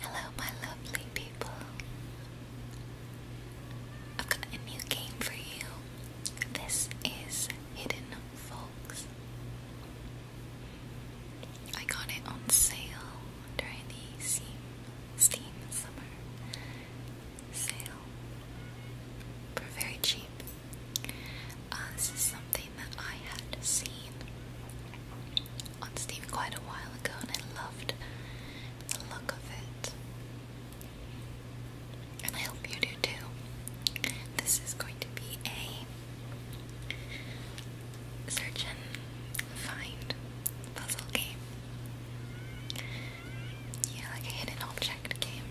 Hello, my lovely people. a new game for you. This is Hidden Folks. I got it on sale during the Steam, Summer sale for very cheap. Uh, this is something that I had seen on Steam quite a while ago and I loved the look of it. And I hope you do too. This is going to be a search and find puzzle game. Yeah, like a hidden object game,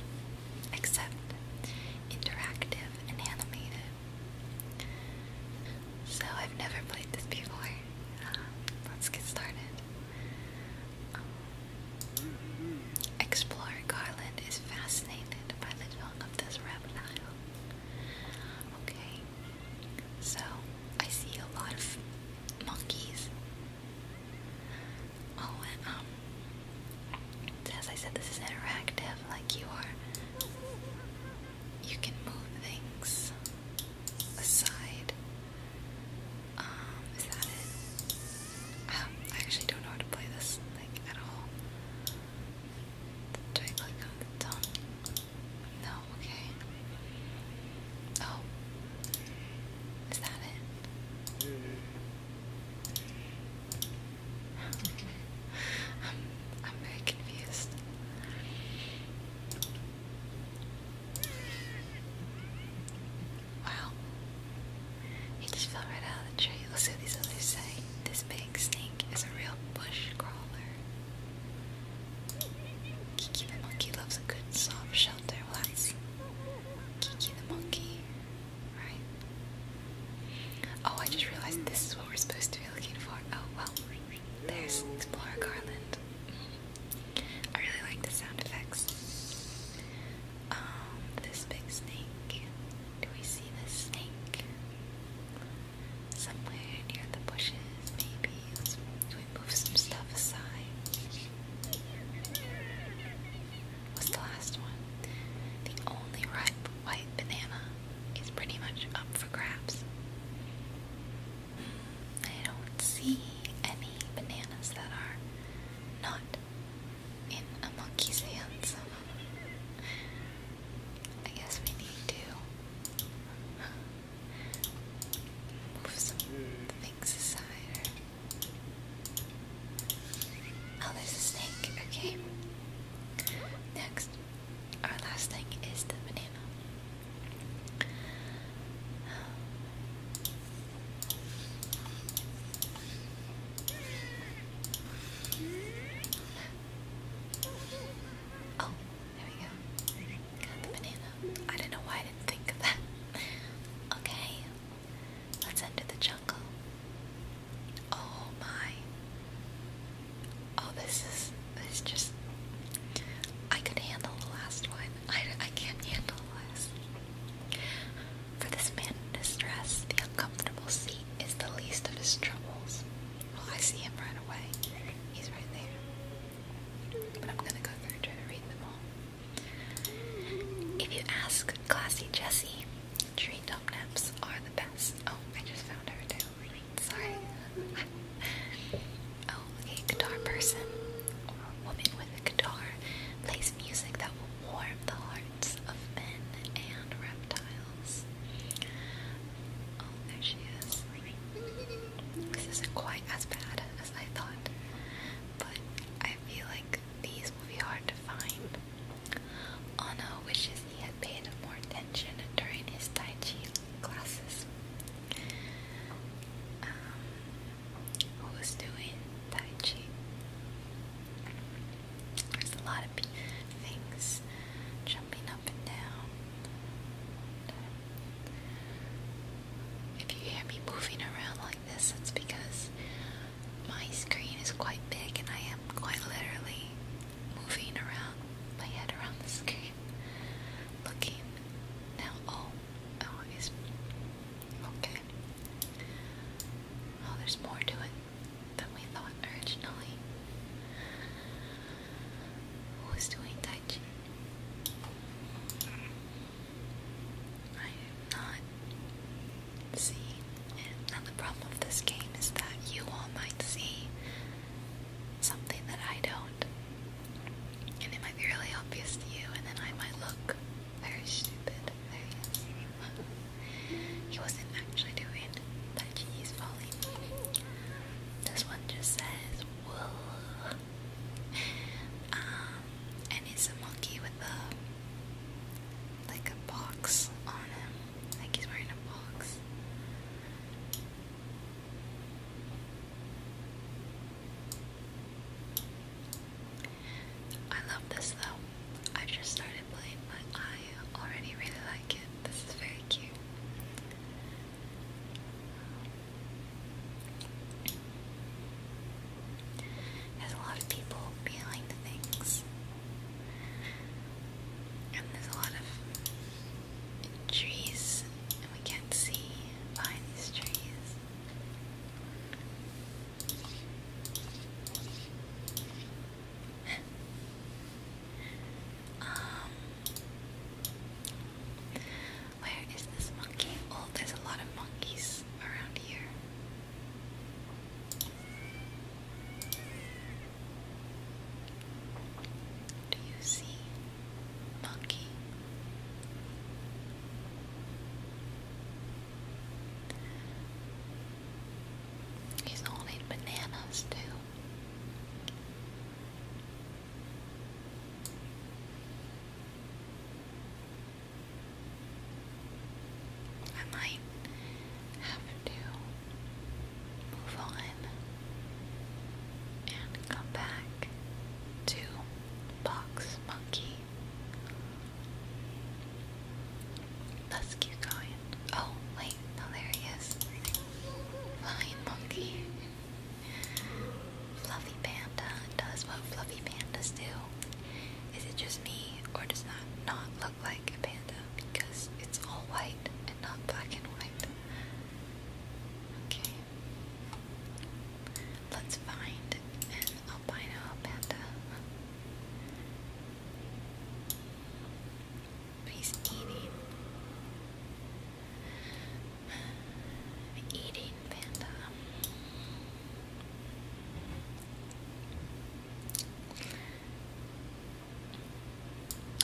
except interactive and animated. So I've never played this before. Uh, let's get started. Um, Explorer Garland is fascinated by the tongue of this reptile. Okay, so I see a lot of monkeys. Oh, and um, as I said, this is interactive. Like you are you can move things aside. Um, is that it? Um, I actually don't know how to play this like at all. Do I click on the tongue? No, okay. Oh. Is that it? Hmm. I'm, very confused. Wow. He just fell right out of the tree. Let's see what these others say. This big snake is a real bush crawler. Kiki the monkey loves a good soft shelter. Well, that's Kiki the monkey, right? Oh, I just realized this is what we're supposed to be looking for. Oh, well there's Explorer Garland. I really like the sound effects. Um, this big snake. Do we see this snake? Somewhere near the bushes, maybe. Let's, move some stuff aside? What's the last one? The only ripe white banana is pretty much up for grabs. Hmm, I don't see any bananas that are not in a monkey's hands. I guess we need to move some things aside. Oh, there's a snake. Okay. Next, our last thing is the banana. Oh, there we go. Got the banana. I don't know why I didn't think of that. Okay, let's enter the jungle. Oh my. Oh, this is. It's just. I could handle the last one. I, I can't handle this. For this man in distress, the uncomfortable seat is the least of his troubles. Well, I see him right away. He's right there. But I'm gonna go through and try to read them all. If you ask Classy Jessie, tree dump naps are the best. Oh, I just found her too. Sorry. oh, okay. Guitar person or woman with a guitar plays music that will warm the hearts of men and reptiles. Oh, there she is. This isn't quite as bad as I thought, but I feel like these will be hard to find. Anna wishes he had paid more attention during his Tai Chi classes. Um, who's doing Tai Chi? There's a lot of things jumping up and down. If you hear me moving around like this, it's because my screen is quite big and I am quite literally moving around my head around the screen, looking now. Oh, oh, it's okay. Oh, there's more to it than we thought originally. Who's doing Tai Chi? I am not seeing And the problem of this game is that you all might see something that I don't. And it might be really obvious to you, and then I might look very stupid. he wasn't actually doing that he's falling. This one just says, whoa. Um, and it's a monkey with a, like a box on him. Like he's wearing a box. I love this though. I just started playing, but I already really like it. This is very cute. There's a lot of people behind the things. And there's a lot of trees, and we can't see behind these trees. um, where is this monkey? Oh, there's a lot of monkeys around here. Do you see monkey? He's holding bananas too. I might have to move on and come back to box monkey. Let's keep going. Oh, wait, no, there he is. Flying monkey. Fluffy panda does what fluffy pandas do. Is it just me, or does that not look like? like a panda because it's all white and not black and white. Okay. Let's find an albino panda. he's eating. eating panda.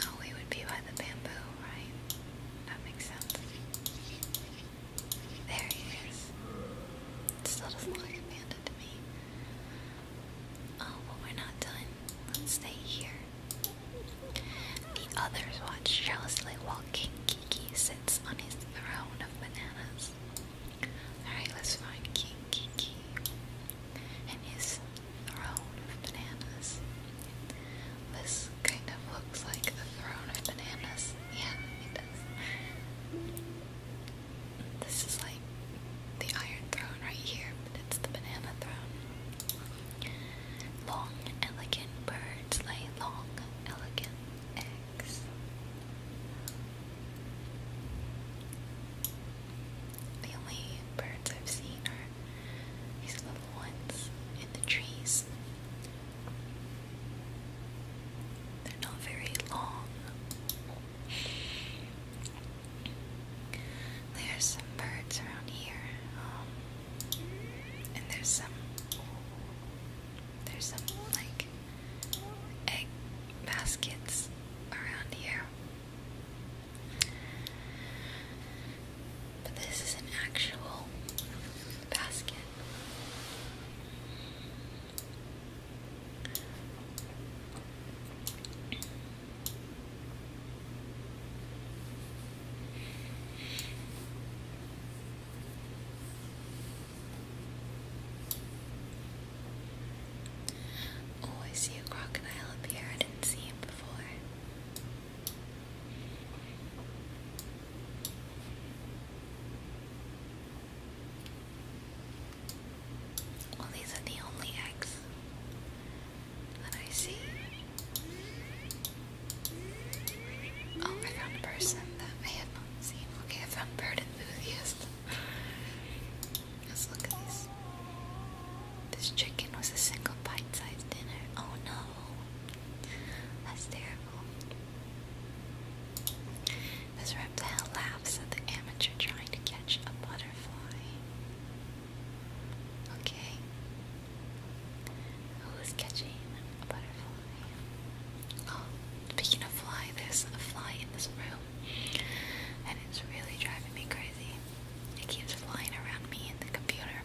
Oh, we would be by the bamboo, right? That makes sense. There he is. still doesn't look like to me. Oh, well, we're not done. Let's stay here. The others watch jealously while King Kiki sits on his throne of bananas. Alright, let's find King Kiki and his throne of bananas. This kind of looks like a throne of bananas. Yeah, it does. This is like the Iron Throne right here, but it's the Banana Throne. Long, elegant birds lay long, elegant eggs. The only birds I've seen are these little ones in the trees. They're not very long. There's some birds around here, um, and there's some, there's some like egg baskets around here. But this is an actual basket. Oh, I see a crocodile up I didn't see him before. Well, these are the only eggs that I see. Oh, I found a person that I had not seen. Okay, I found bird enthusiast. Let's look at this. This chicken was a single bite-sized dinner. Oh no. That's terrible. This reptile laughs at the amateur trying to catch a butterfly. Okay. Who's catching a butterfly? Oh, speaking of fly, there's a fly in this room. And it's really driving me crazy. It keeps flying around me in the computer.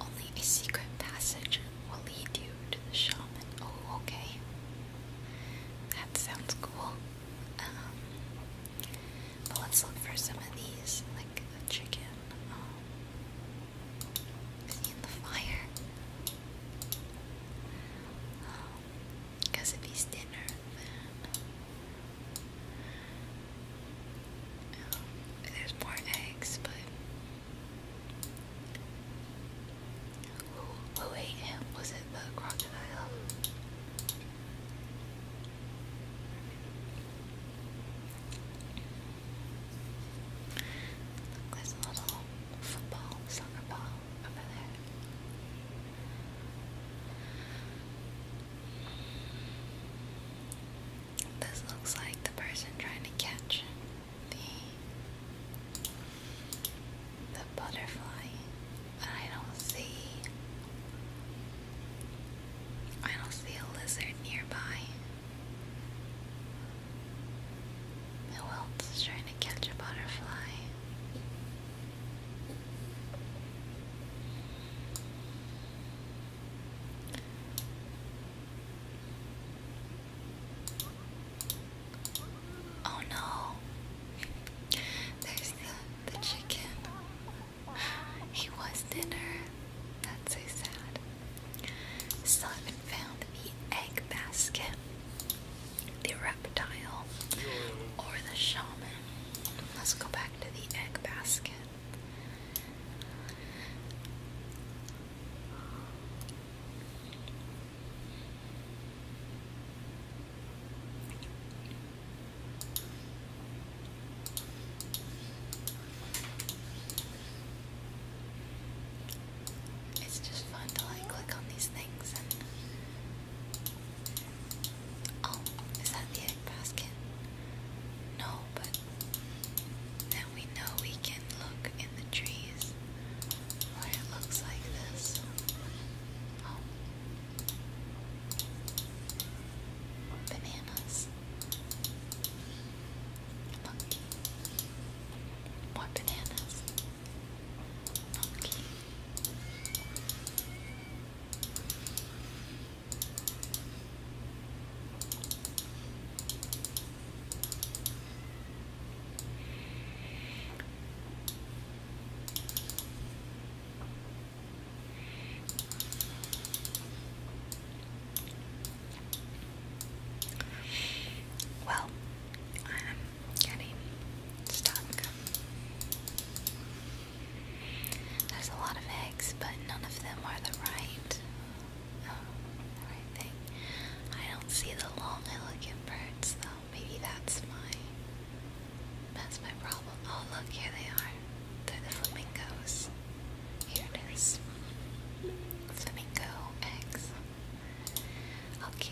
Only a secret passage will lead you to the shaman. Oh, okay. That sounds cool. Um, but let's look for some of these, like the chicken. Um, the fire? Um, because if he's dinner. Um, there's more eggs, but who, who ate him? Was it the crocodile? Look, there's little football, soccer ball. This looks like the person trying to catch the the butterfly. I don't see I don't see a lizard nearby. Who else is trying to catch a butterfly? Oh no, there's the, the chicken. He was dinner. That's so sad. Still haven't found the egg basket the reptile, or the shaman. Let's go back to the egg basket. It's just fun to like click on these things Oh, is that the egg basket? No, but then we know we can look in the trees it looks like this. Oh. Bananas. Look. More bananas. Okay. Well, I'm getting stuck. There's a lot of eggs, but none of them are the right, um, the right thing. I don't see the long, elegant birds, though. Maybe that's my, that's my problem. Oh, look, here they are. They're the flamingos. Here it is. Flamingo eggs. Okay.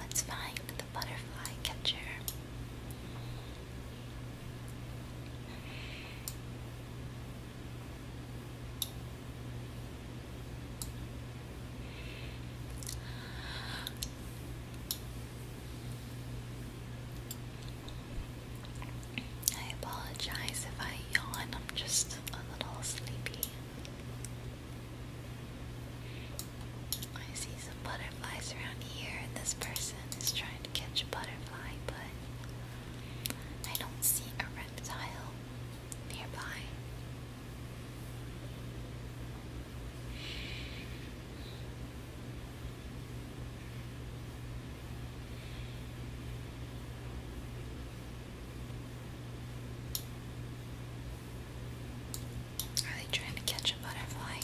Let's find the butterfly catcher. I apologize if I yawn, I'm just a little sleepy. I see some butterflies around here, and this person is trying to catch a butterfly, but I don't see a reptile nearby. Are they trying to catch a butterfly?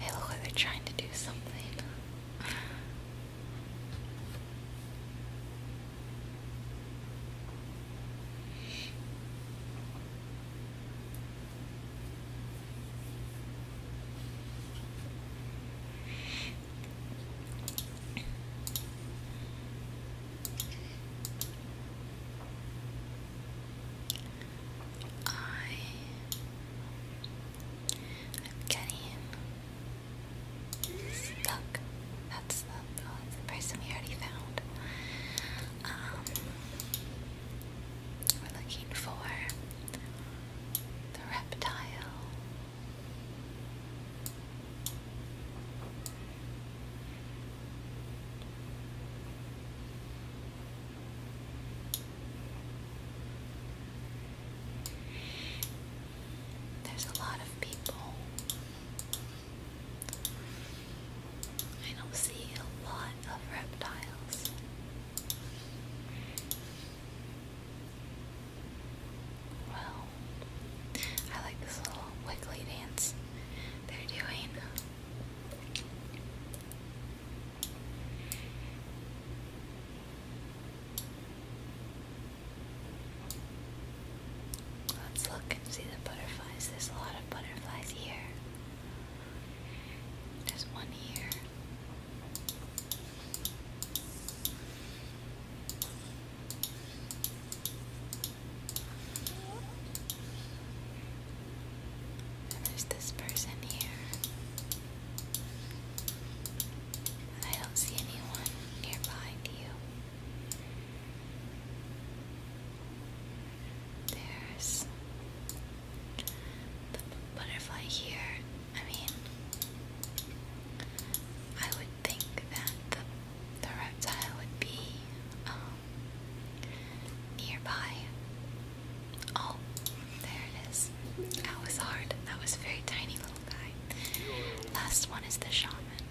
They look like they're trying to do something. I am getting stuck. That's the oh, we already found. Um, we're looking for the reptile. There's a lot of people. I don't see a lot of reptiles. Well, I like this little wiggly dance they're doing. Let's look and see the butterflies. There's a lot of butterflies here. There's one here there's this person here. I don't see anyone nearby to you. There's the butterfly here. I mean, I would think that the the reptile would be um, nearby. Oh, there it is. That was hard. That was a very tiny little guy. Last one is the shaman.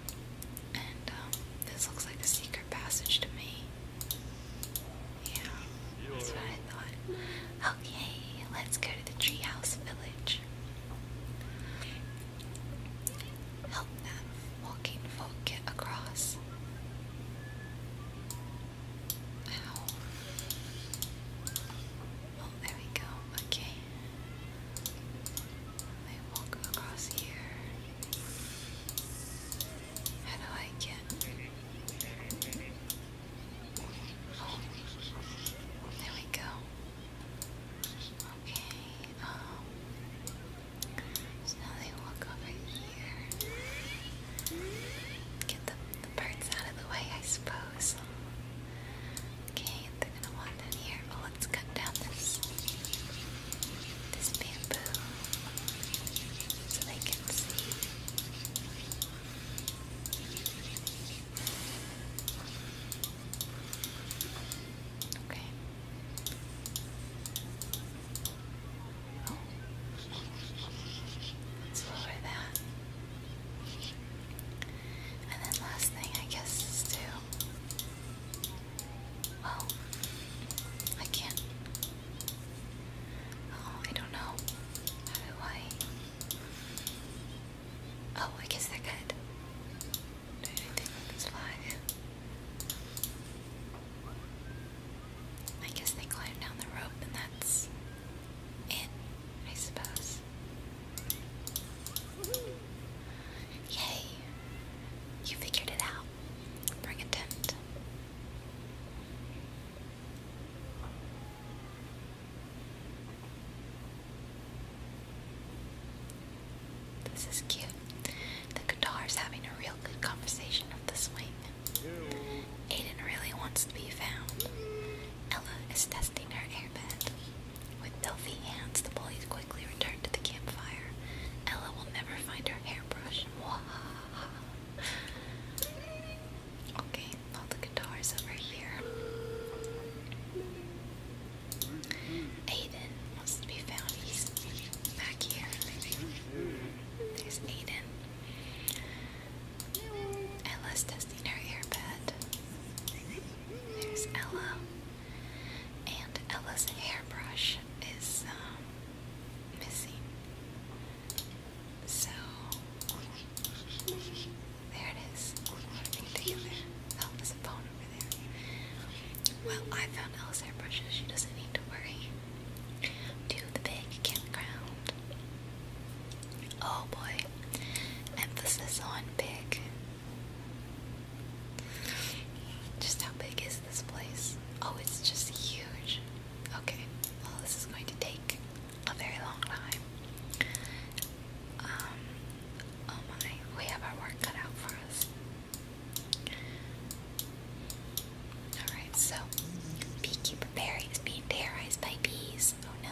And um, this looks like a secret passage to me. Yeah, that's what I thought. Okay, let's go to the treehouse village. Help them, walking folk, get across. Ow. Oh, there we go. Okay. I walk across here. How do I get? there we go. Okay, um, so they walk over here. Get the, the birds out of the way, I suppose. Um, okay, they're gonna walk down here. Well, let's cut down this this bamboo so they can see. Okay. Oh. Let's lower that. And then last thing I guess is to well I can't Oh, I don't know. How do I Oh, I guess I could. I guess they climb down the rope and that's it, I suppose. Yay! You figured it out. Bring a tent. This is cute. The guitar is having a real good conversation with the swing. Aiden really wants to be found. Ella is testing her airbed. With filthy hands, the bullies quickly return to the campfire. Ella will never find her hairbrush. Okay, all the guitars over here. Aiden wants be found. He's back here. There's Aiden. Ella's testing her earbud. There's Ella. And Ella's hairbrush is um, missing. So, there it is. Together. Oh, phone. Well, I found Alice hairbrushes. She doesn't need to worry. Do the big campground. Oh boy. Emphasis on big. Just how big is this place? Oh, it's just huge. Okay, well, this is going to take a very long time. Um, oh my, we have our work cut out for us. Alright, so beekeeper Barry is being terrorized by bees. Oh no.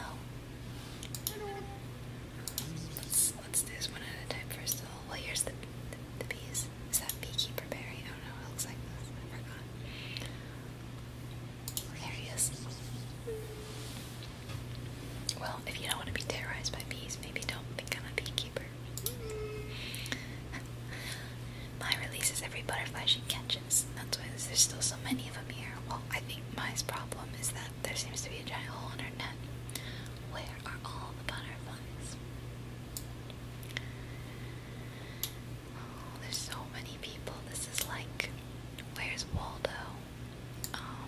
Let's, let's do this one at a time first of all. Well, here's the, the, bees. Is that beekeeper Barry? Oh no, it looks like this. I forgot. There he is. Well, if you don't want to be terrorized by bees, maybe don't become a beekeeper. my releases every butterfly she catches. That's why there's still so many of them here. Well, I think my's problem is that there seems to be a giant hole in her net. Where are all the butterflies? Oh, there's so many people. This is like, where's Waldo? Um,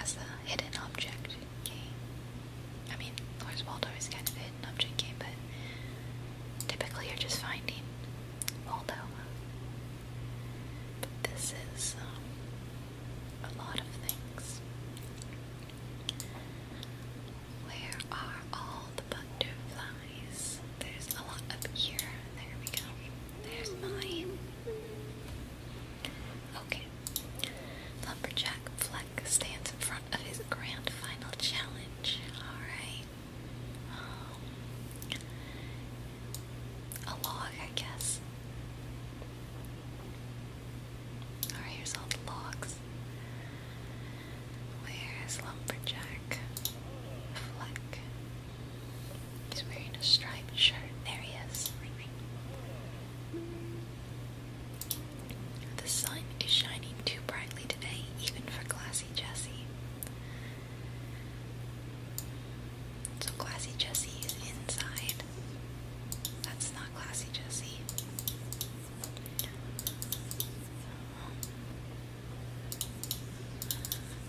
as a hidden object game. I mean, Where's Waldo is kind of a hidden object game, but typically you're just finding Waldo. But this is um, a lot of things. Where are all the butterflies? There's a lot up here. There we go. There's mine. Okay. Lumberjack Fleck stands in front of his grand final challenge. Alright. Um, a log, I guess. Alright, here's all the logs. Where's Lumberjack Fleck? He's wearing a striped shirt. There he is. The sun is shining too brightly today, even for Glassy Jesse. So Glassy Jesse is inside. That's not Glassy Jesse.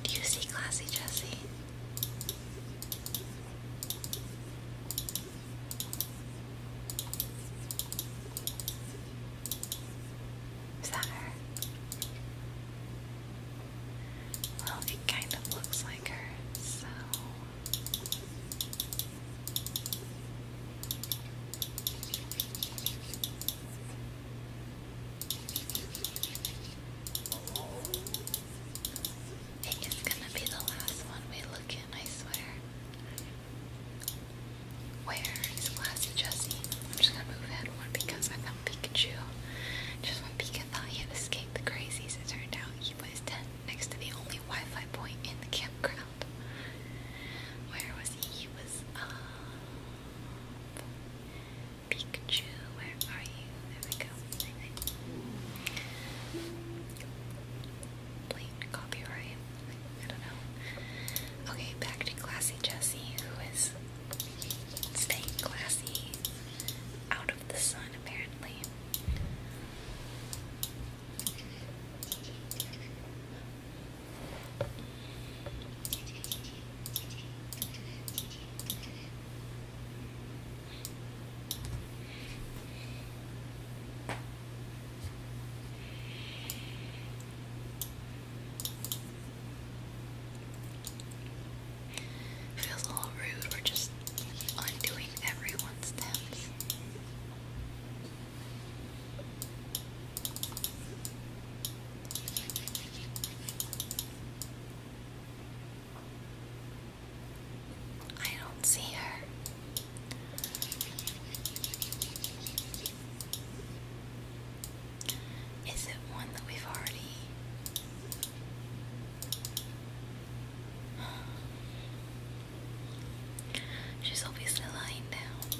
Do you see Glassy Jesse? Is that her? Well, it kind of looks like her, so. I it's gonna be the last one we look in, I swear. Where's Glassy Jessie? I'm just gonna move ahead more because I found Pikachu. Just when Pika thought he had escaped the crazies, it turned out he was dead next to the only Wi-Fi point in the campground. Where was he? He was, uh... Pikachu, where are you? There we go. Blatant copyright. I don't know. Okay, back to Classy Jessie, who is staying classy out of the sun, apparently. Feels a little rude, we're just undoing everyone's steps. I don't see her. Is it one that we've already? She's obviously lying down.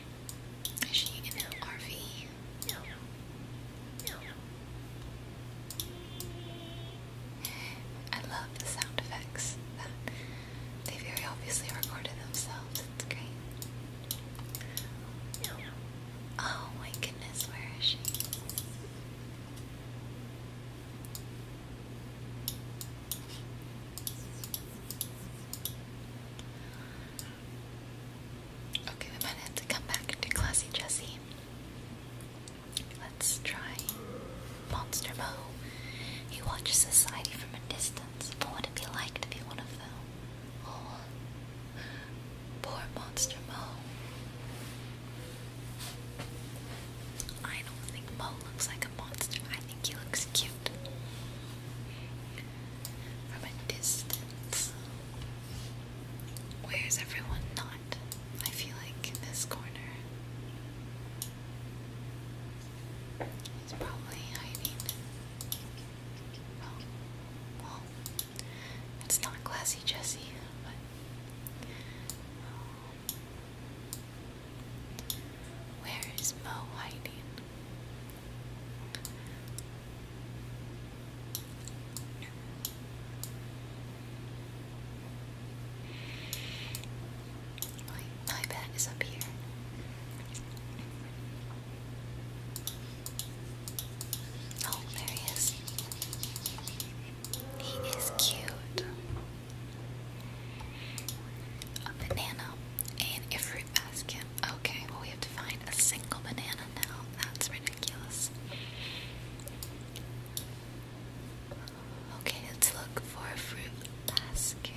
Is she in an RV? I love the sound effects they very obviously recorded themselves. It's great. Oh my goodness, where is she? Okay, we might have to come back to Classy Jessie. Let's try Monster Mo. He watches society from a distance. What would it be like to be one of them? Oh, poor Monster Mo. I don't think Mo looks like a monster. I think he looks cute from a distance. Where's everyone not? I feel like in this corner. He's probably hiding. Well, it's not classy Jesse, but. Um, where is Mo hiding? My, my bed is up here. Oh, there he is. He is cute. A banana and a fruit basket. Okay, well, we have to find a single banana now. That's ridiculous. Okay, let's look for a fruit basket.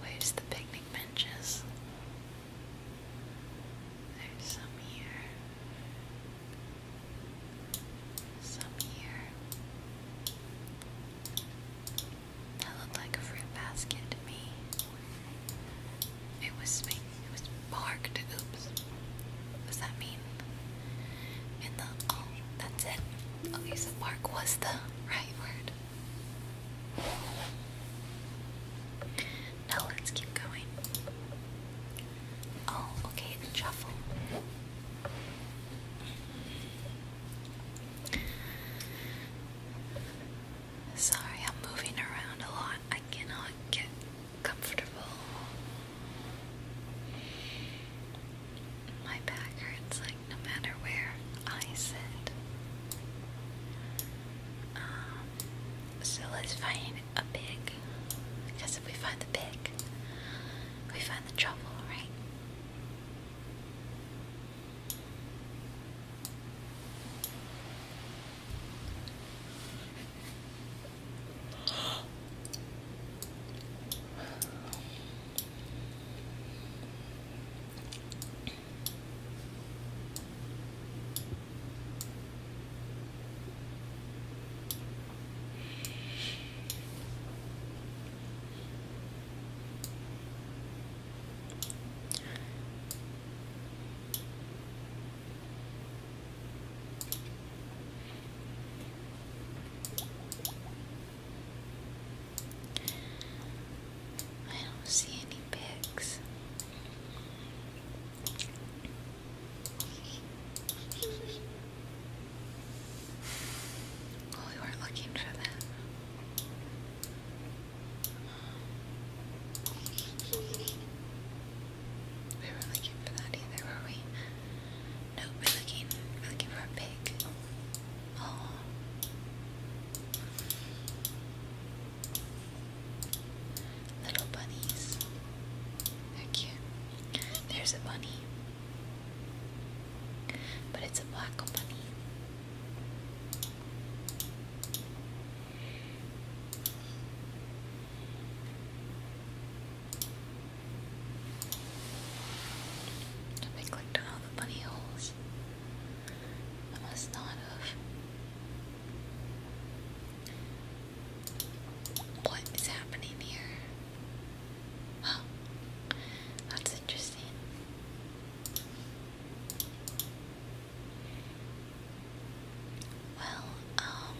Where's the picnic benches? There's some here. Some That looked like a fruit basket to me. It was it was marked. Oops. does that mean? In the oh, that's it. Okay, oh, so mark was the right word. Now let's keep going. Oh, okay, the Sorry, I'm moving around a lot. I cannot get comfortable. My back hurts like no matter where I sit. Um, so let's find a pig. Because if we find the pig, we find the trouble, right? I don't see any pigs. We weren't looking for that. We were looking for that either, were we? No, we're looking, we're looking for a pig. Oh little bunnies. They're cute. There's a bunny. But it's a black bunny. They clicked on all the bunny holes. I must not have. What is happening here? Oh, that's interesting. Well, um.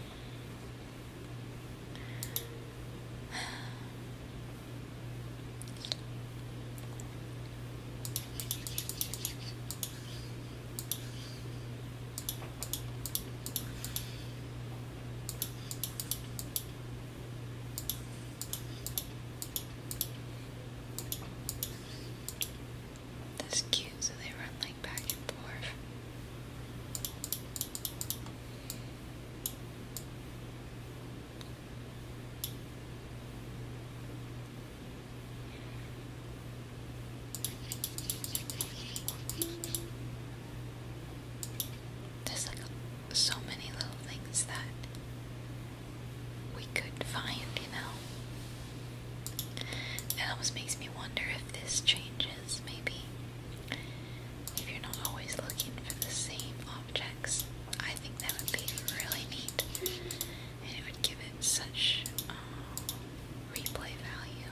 That's cute, so they run like back and forth. There's like so many little things that we could find, you know. It almost makes me wonder if this changes, maybe. If you're not always looking for the same objects, I think that would be really neat. And it would give it such um, replay value.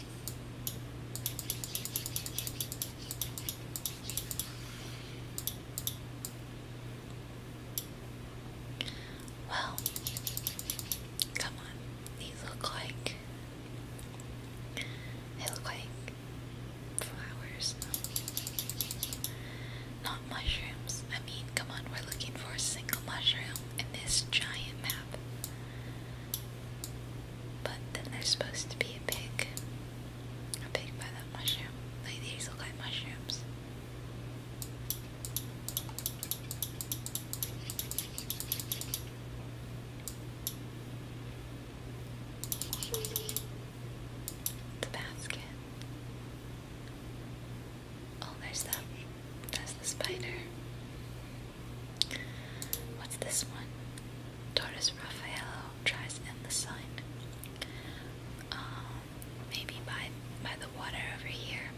Well, come on. These look like they look like flowers. Not mushrooms. I mean, come on, we're looking for a single mushroom in this giant but then there's supposed to be a pig. A pig by that mushroom. Like these look like mushrooms. The basket. Oh, there's that. That's the spider. What's this one? Torres Raffaello tries in the sun. Um, maybe by by the water over here.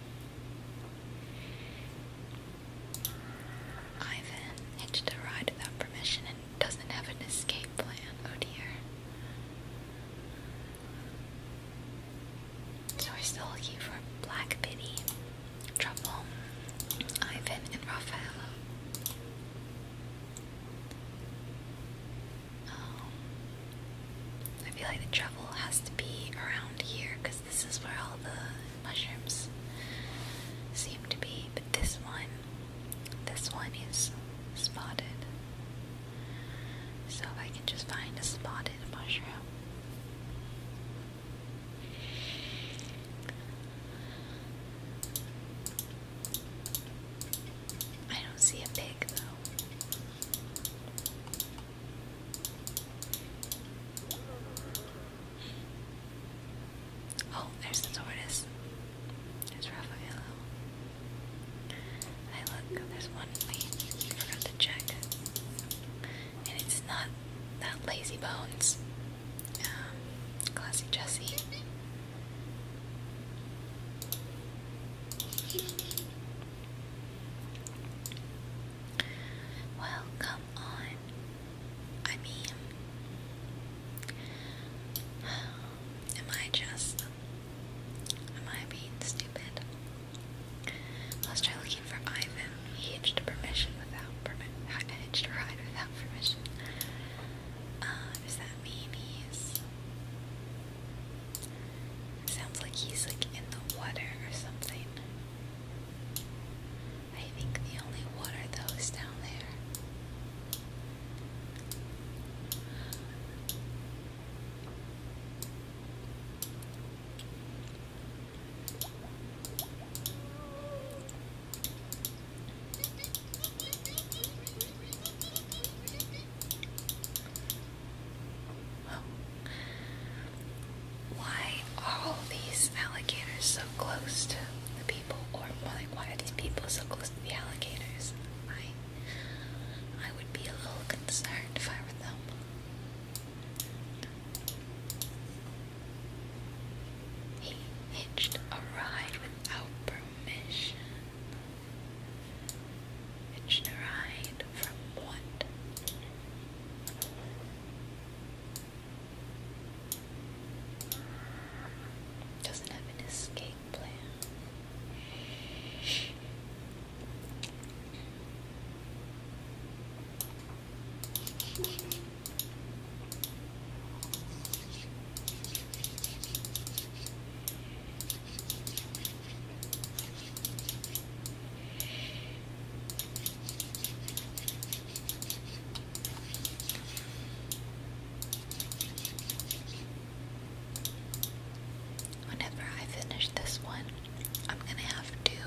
Ivan hitched a ride without permission and doesn't have an escape plan. Oh dear. So we're still looking for Black pity Trouble, Ivan, and Raphael. Um, I feel like the Trouble has to be around here because this is where all the mushrooms seem to be. But this one, this one is spotted. So if I can just find a spotted mushroom. I don't see a pig Oh, there's the tortoise. There's Raphael. Hey, look, there's one we forgot to check and it's not that lazy bones. Um, Jessie. Well, come on. I mean, am I just, am I being stupid? Let's try looking for Ivan. He hitched permission permission. a ride without permission. Uh, that mean he's? Sounds like he's like in the water or something. I think the only water though is down there. Why are these alligators so close to the people? Or why are these people so close to the alligators? I I would be a little concerned if I were them. He hitched a ride without permission. Hitched a ride from what? Doesn't have an escape plan. Whenever I finish this one, I'm gonna have to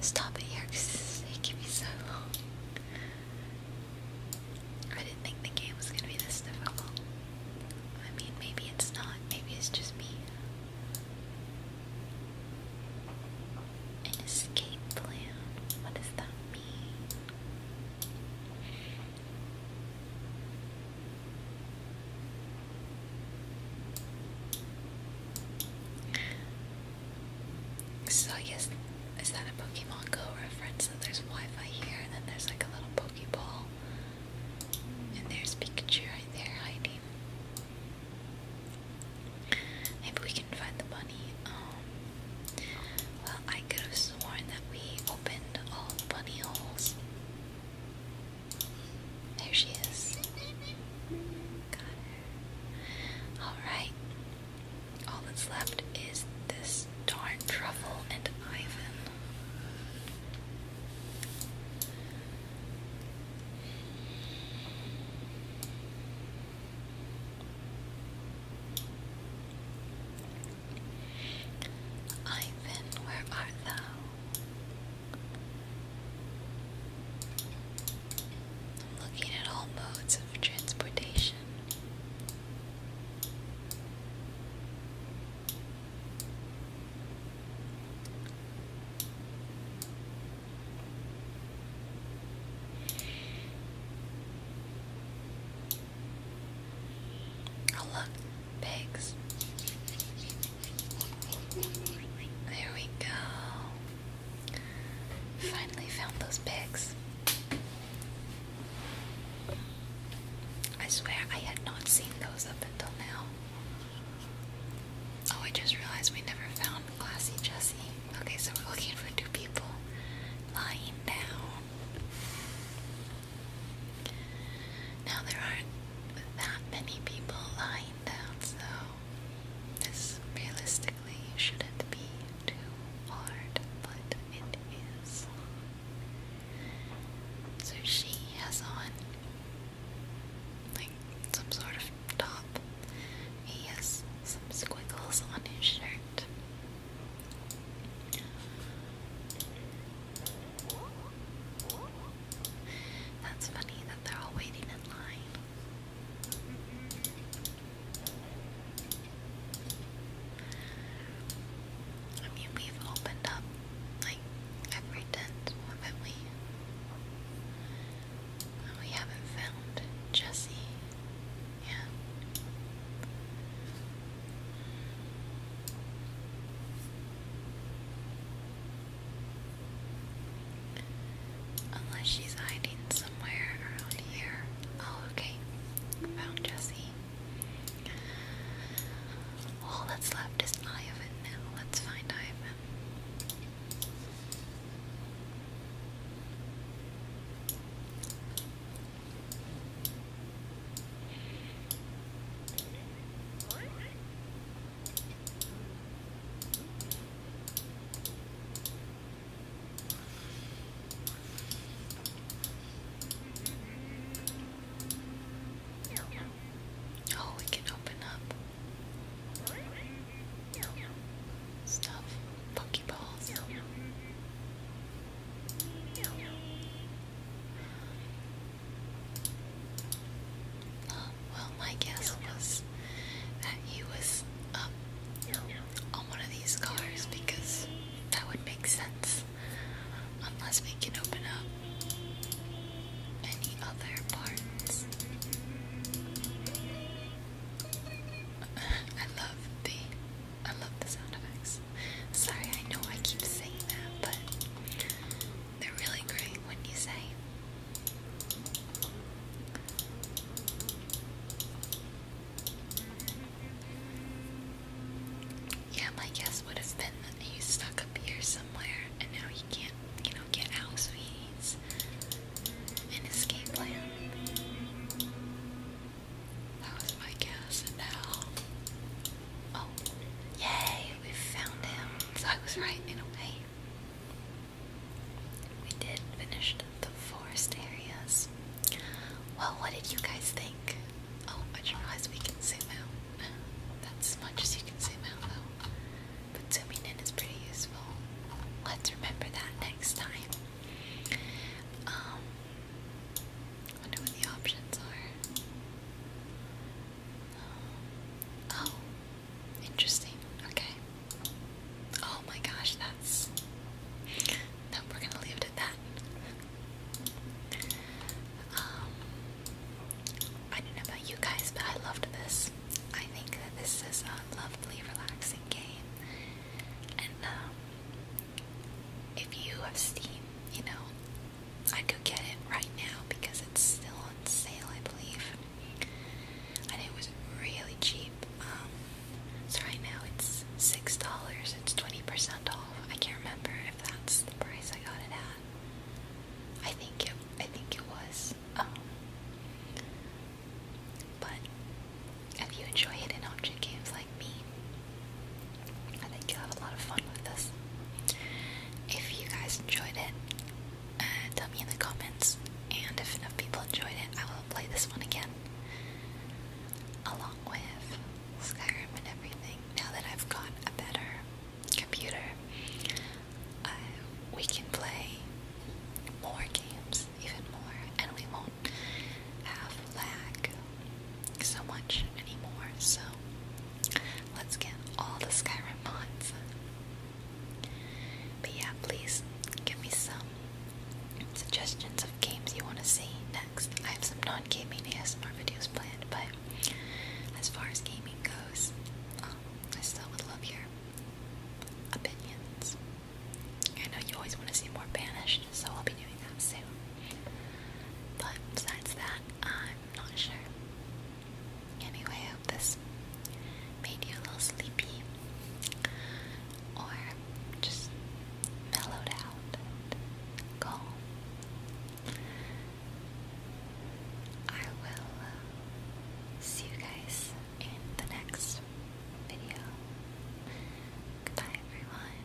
stop it here because it's taking me so long. I didn't think the game was gonna be this difficult. I mean, maybe it's not. Maybe it's just me. escape plan. What does that mean? So yes, is that a Pokemon Go or a reference? So there's Wi-Fi here, and then there's like a little Pokeball, and there's Pikachu right there hiding. Maybe we can find the money. Um, well, I could have sworn that we opened all bunny holes. There she is. Got her. Alright. All that's left is this darn truffle and Ivan. Ivan, where art thou? I'm looking at all modes of transportation. Oh look, pigs. There we go. Finally found those pigs. I swear I had not seen those up until now. Oh, I just realized we never found Classy Jessie. Okay, so we're looking for two people lying down. Now, there aren't that many people lying so this realistically shouldn't be too hard, but it is. So she has on like some sort of top. He has some squiggles on his shirt. That's funny that they're all waiting in line. I mean, we've opened up like every tent, haven't we? we haven't found Jesse yet. Unless she's hiding somewhere around here. Oh, okay. Found Jessie. All that's left is Ivan Let's find Ivan. Oh, we can open up stuff, Pokeballs. Well, my guess was that he was up um, on one of these cars because that would make sense. Unless we can open up any other parts. I love the I love the sound effects. Sorry, I know I keep saying that, but they're really great when you say yeah, my guess would have been that he's stuck up here somewhere and now he can't, you know, get out, so he needs an escape plan. That was my guess, and now. Oh, yay, we found him. So I was right in a way. We did finish the forest areas. Well, what did you guys think? Oh, I realized we can zoom out. That's as much as you can zoom out, though. But zooming in is pretty useful. Let's remember that next time. Um, wonder what the options are. Oh, interesting. Okay. Oh my gosh, that's. No, we're gonna leave it at that. Um, I don't know about you guys, but I loved this. I think that this is a lovely, relaxing game. And um, if you have Steam, you know, I could get it right now because it's still on sale, I believe. And it was really cheap. Um, so right now it's six dollars. It's twenty percent off. I can't remember if that's the price I got it at. I think it. I think it was. Um, but if you enjoy hidden object games like me, I think you'll have a lot of fun with this. If you guys enjoyed it, uh, tell me in the comments, and if enough people enjoyed it, I will play this one again. Along with Skyrim and everything, now that I've got a better computer, uh, we can play more games, even more, and we won't have lag so much anymore. So Let's get all the Skyrim mods. But yeah, please give me some suggestions of games you want to see next. I have some non-gaming ASMR videos planned, but as far as gaming goes, um, I still would love your opinions. I know you always want to see more Banished, so I'll be doing that soon. But besides that, I'm not sure. Anyway, I hope this made you a little sleepy or just mellowed out calm. I will uh, see you guys in the next video. Goodbye, everyone.